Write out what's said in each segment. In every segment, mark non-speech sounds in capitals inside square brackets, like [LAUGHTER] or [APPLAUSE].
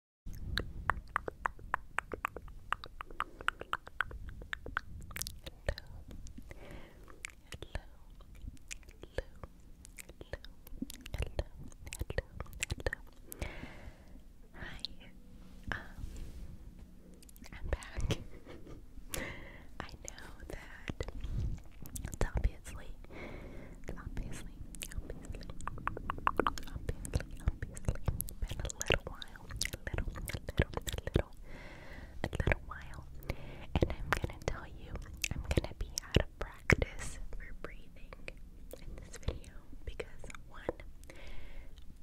hello. Hi. Um I'm back. [LAUGHS] I know that obviously obviously obviously, obviously, been a little while, a little, a little, a little, a little while, and I'm gonna tell you, I'm gonna be out of practice for breathing in this video because one,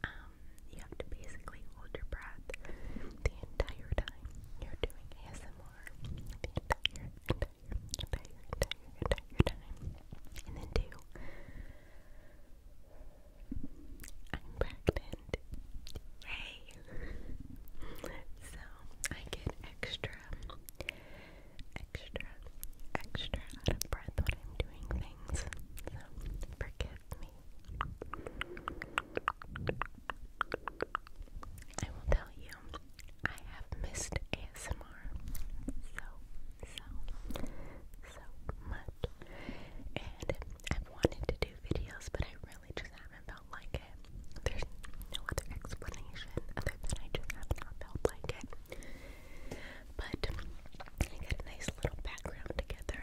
um, you have to basically hold your breath the entire time you're doing ASMR, and then two. I'm pregnant. Yay! so I get extra, extra, extra out of breath when I'm doing things. So forgive me. I will tell you, I have missed ASMR. So so, so much. And I've wanted to do videos, but I really just haven't felt like it. There's no other explanation other than I just have not felt like it. But I got a nice little background together.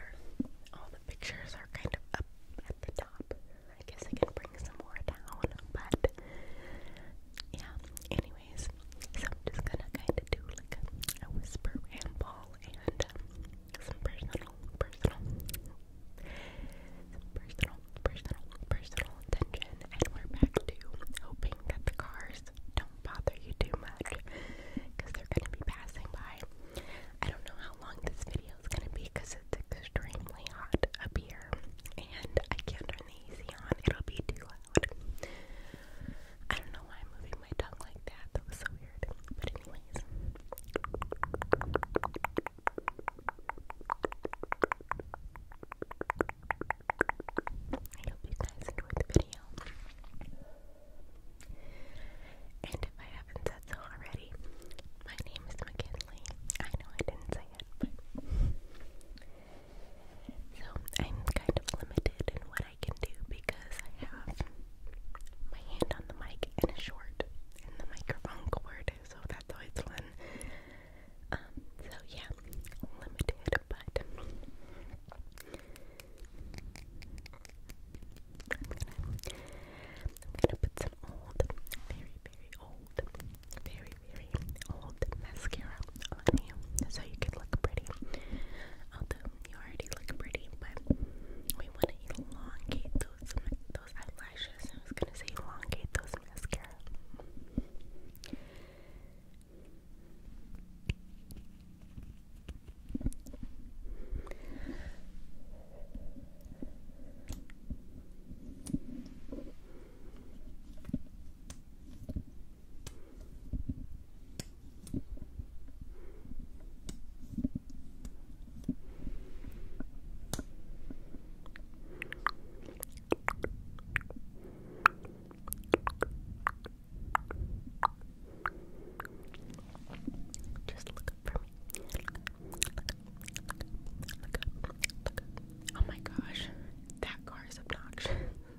All the pictures are kind of up at the top. I guess I can bring some more down, but yeah, anyway so I'm just gonna kind of do like a, a whisper ramble and um, some personal, personal, personal, personal, personal attention, and we're back to hoping that the cars don't bother you too much because they're gonna be passing by. I don't know how long this video is gonna be because it's extremely hot up here, and I can't turn the AC on. It'll be too I don't know why I'm moving my tongue like that. That was so weird. But anyways. I hope you guys enjoyed the video. And if I haven't said so already, my name is McKinley. I know I didn't say it, but so I'm kind of limited in what I can do because I have my hand on the mic and a short and the microphone cord, so that's always fun. Um, so yeah, limited, but I'm gonna put some old, very, very old, very, very old mascara on you so you could look pretty. Although you already look pretty, but we want to elongate those those eyelashes. I was gonna say elongate those mascara. Just look up for me. Look up. Look up. Look up. Look up. Oh my gosh, that car is obnoxious. [LAUGHS]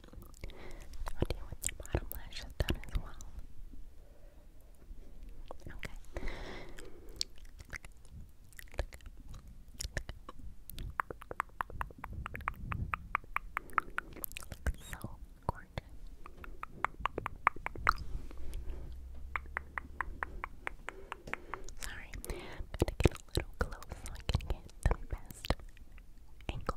Now deal with your bottom lashes done as well. Okay. so gorgeous. Sorry, I'm gonna get a little close so I can get the best angle.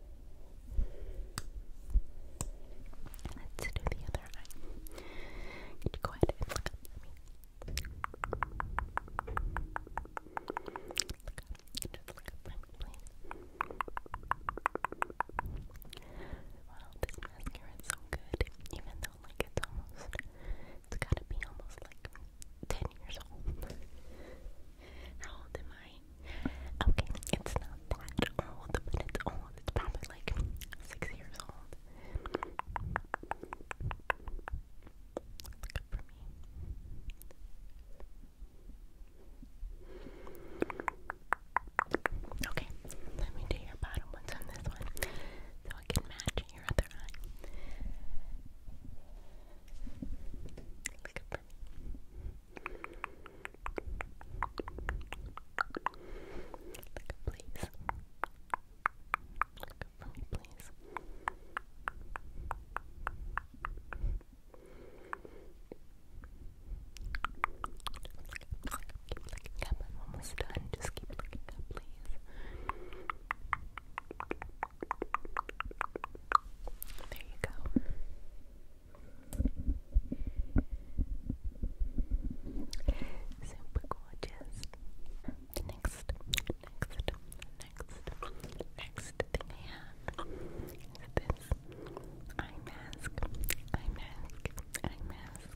Let's do the other eye. Could you go ahead and look at me? Look up. Just look at me, Wow, this mascara is so good. Even though, like, it's almost, it's gotta be almost like 10 years old. How old am I? Okay, it's not that old, but it's old. It's probably like six years old. That's good for me. Okay, let me do your bottom ones on this one so I can match your other eye. Look up for please. Look up me, please. Just keep looking up. I'm almost done. Just keep looking up, please. There you go. Super gorgeous. Next, next, next, next thing I have is this eye mask. Eye mask, eye mask.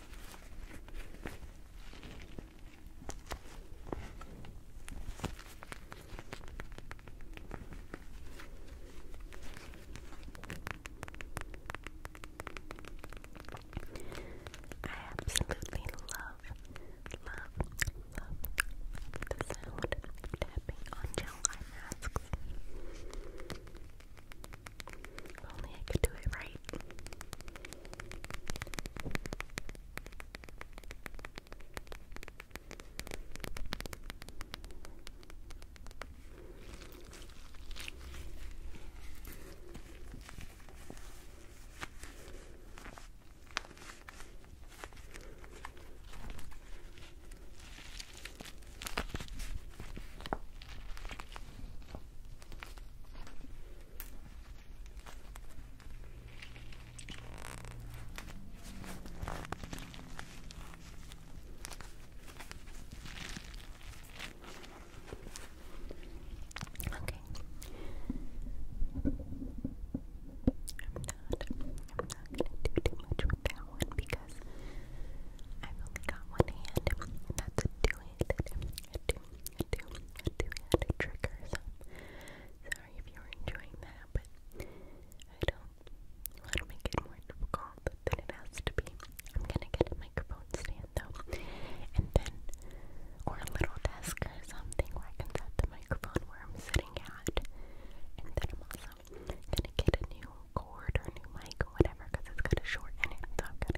I absolutely love, love, love the sound tapping on gel masks. If only I could do it right. Okay. I'm not I'm not gonna do too much with that one because I've only got one hand and that's doing it had to, had to, had to, had to trigger some. Sorry if you were enjoying that, but I don't want to make it more difficult than it has to be. I'm gonna get a microphone stand though, and then, or a little desk or something where I can set the microphone where I'm sitting at. And then I'm also gonna get a new cord or a new mic or whatever because it's has got a short in it, so I've got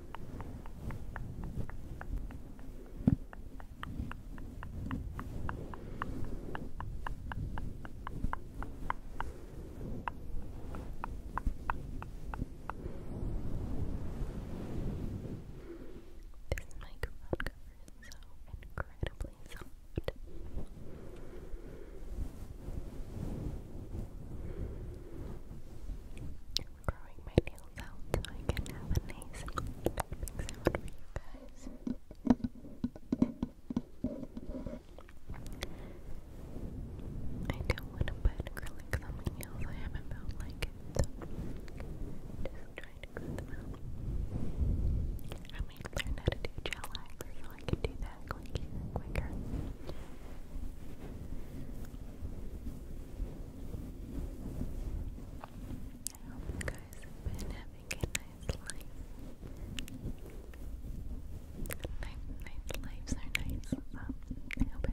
This microphone cover is so incredibly soft growing my nails out so I can have a nice tapping sound for you guys. I don't want to put acrylics on my nails, I haven't like just trying to grow them out. I might learn how to do gel lacquer so I can do that quicker quicker. I hope you guys have been having a nice life. Nice, lives are nice. I hope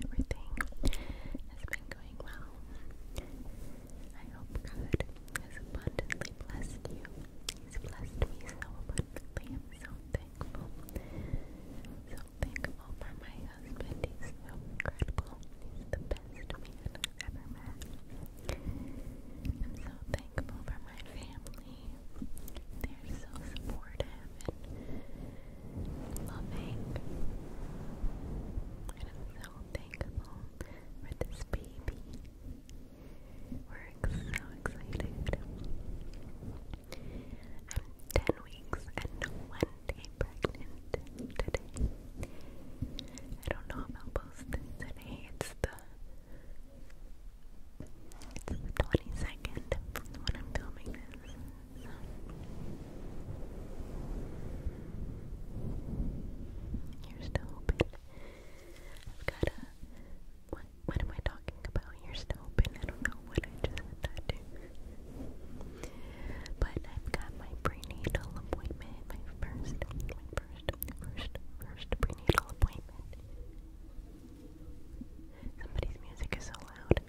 everything has been going well. I hope God has abundantly blessed you. He's blessed me so abundantly. I'm so thankful thankful for my husband. He's so incredible. He's the best man I've ever met. I'm so thankful for my family. They're so supportive and loving. I'm so thankful for this baby. We're so excited. I'm 10 weeks and one stay pregnant today. I don't know how i today. It's the it's the 22nd when I'm filming this. So. Here's to hoping. I've got a. What, what am I talking about? you're still open. I don't know what I just said that to. But I've got my prenatal appointment, my first, my first, first, first prenatal appointment. Somebody's music is so loud.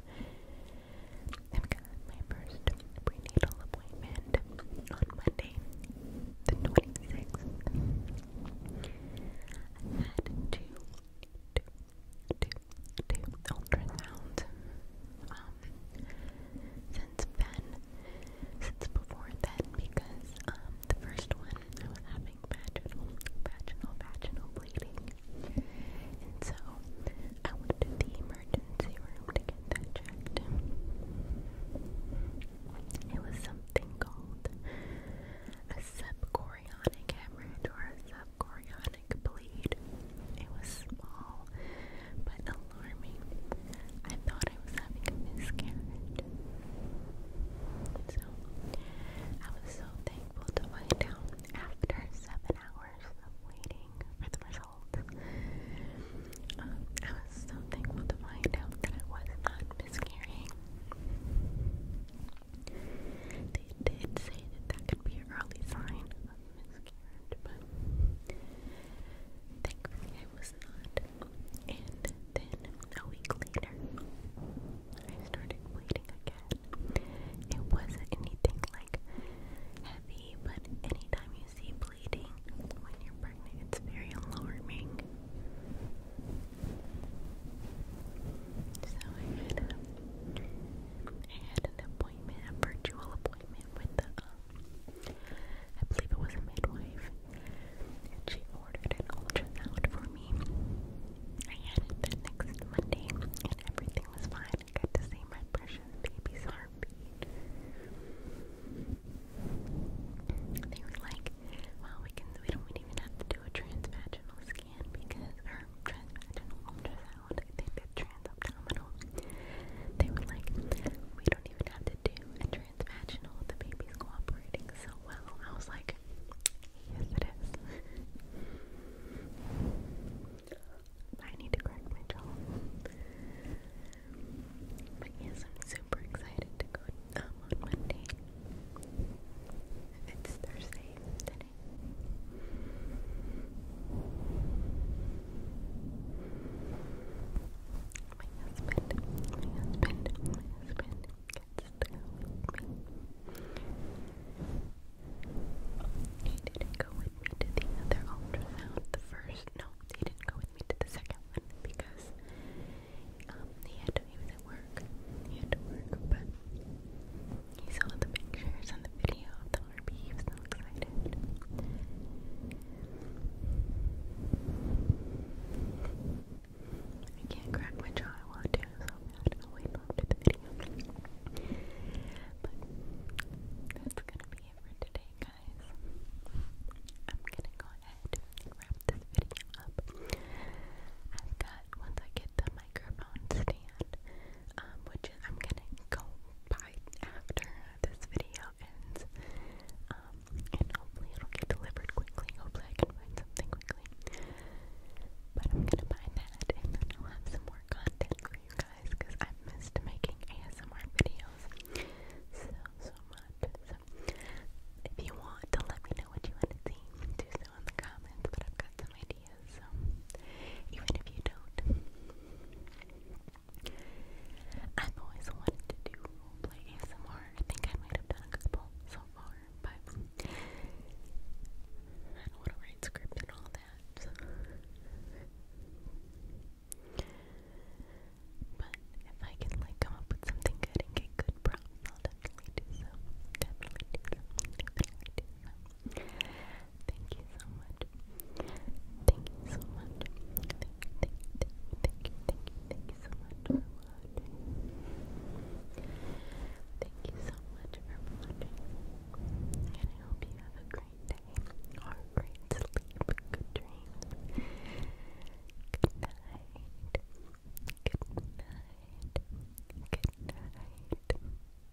I've got my first prenatal appointment on Monday, the 26th. I had two, do, do ultrasound. Um, since then, since before then, because um, the first one I was having vaginal, vaginal, vaginal bleeding, and so I went to the emergency room to get that checked. It was something called a subchorionic hemorrhage or a chorionic bleed. It was small, but alarming. I thought I was having a miscarriage. So, I was so thankful to find out after seven hours of waiting for the results. Um, I was so thankful to find out that I was not miscarrying. They did say that that could be an early sign of miscarriage, but thankfully I was not. And then a week later, I started bleeding again. It wasn't anything like heavy, but anytime you see bleeding when you're pregnant, it's very alarming. So I had a I an appointment, a virtual appointment with the, um, I believe it was a midwife, and she ordered an ultrasound for me. I the next Monday, everything was fine. I got to see my precious baby's heartbeat. They were like, well, we can, we don't even have to do a transvaginal scan because, or transvaginal ultrasound loud. I think transabdominal, they were like, we don't even have to do a transvaginal. The baby's cooperating so well. I was like, yes, it is. I need to correct my jaw. But yes, I'm super excited to go um, on Monday. It's Thursday, body. My husband, my husband, my husband gets go with me. He didn't go with me to the other ultrasound, the first, no, he didn't go with me to the second one because um, he had to, he was at work, he had to work, but he saw the pictures and the video I'm can't crack my jaw. I want to, so bad. I'll wait till the video. But that's gonna be it for today, guys. I'm gonna go ahead wrap this video up. I've got once I get the microphone stand, um, which I'm gonna go buy after this video ends. Um, and hopefully it'll get delivered quickly. Hopefully I can find something quickly. But I'm gonna buy that and then I'll have some more content for you guys because i missed making ASMR videos so, so much. So, if you want to let me know what you want to see, do so in the comments, but I've got some ideas videos, um, even if you don't. I've always wanted to do roleplay ASMR. I think I might have done a couple so far, I want to write script and all that. But if I can like come up with something good and get good prompts, I'll definitely do so. Definitely do Definitely do Thank you so much. Thank you so much. Thank you, thank you, thank you, thank you, so much Thank you so much for watching. And I hope you have a great day a great sleep. Good dreams. Good night. Good night. Good night.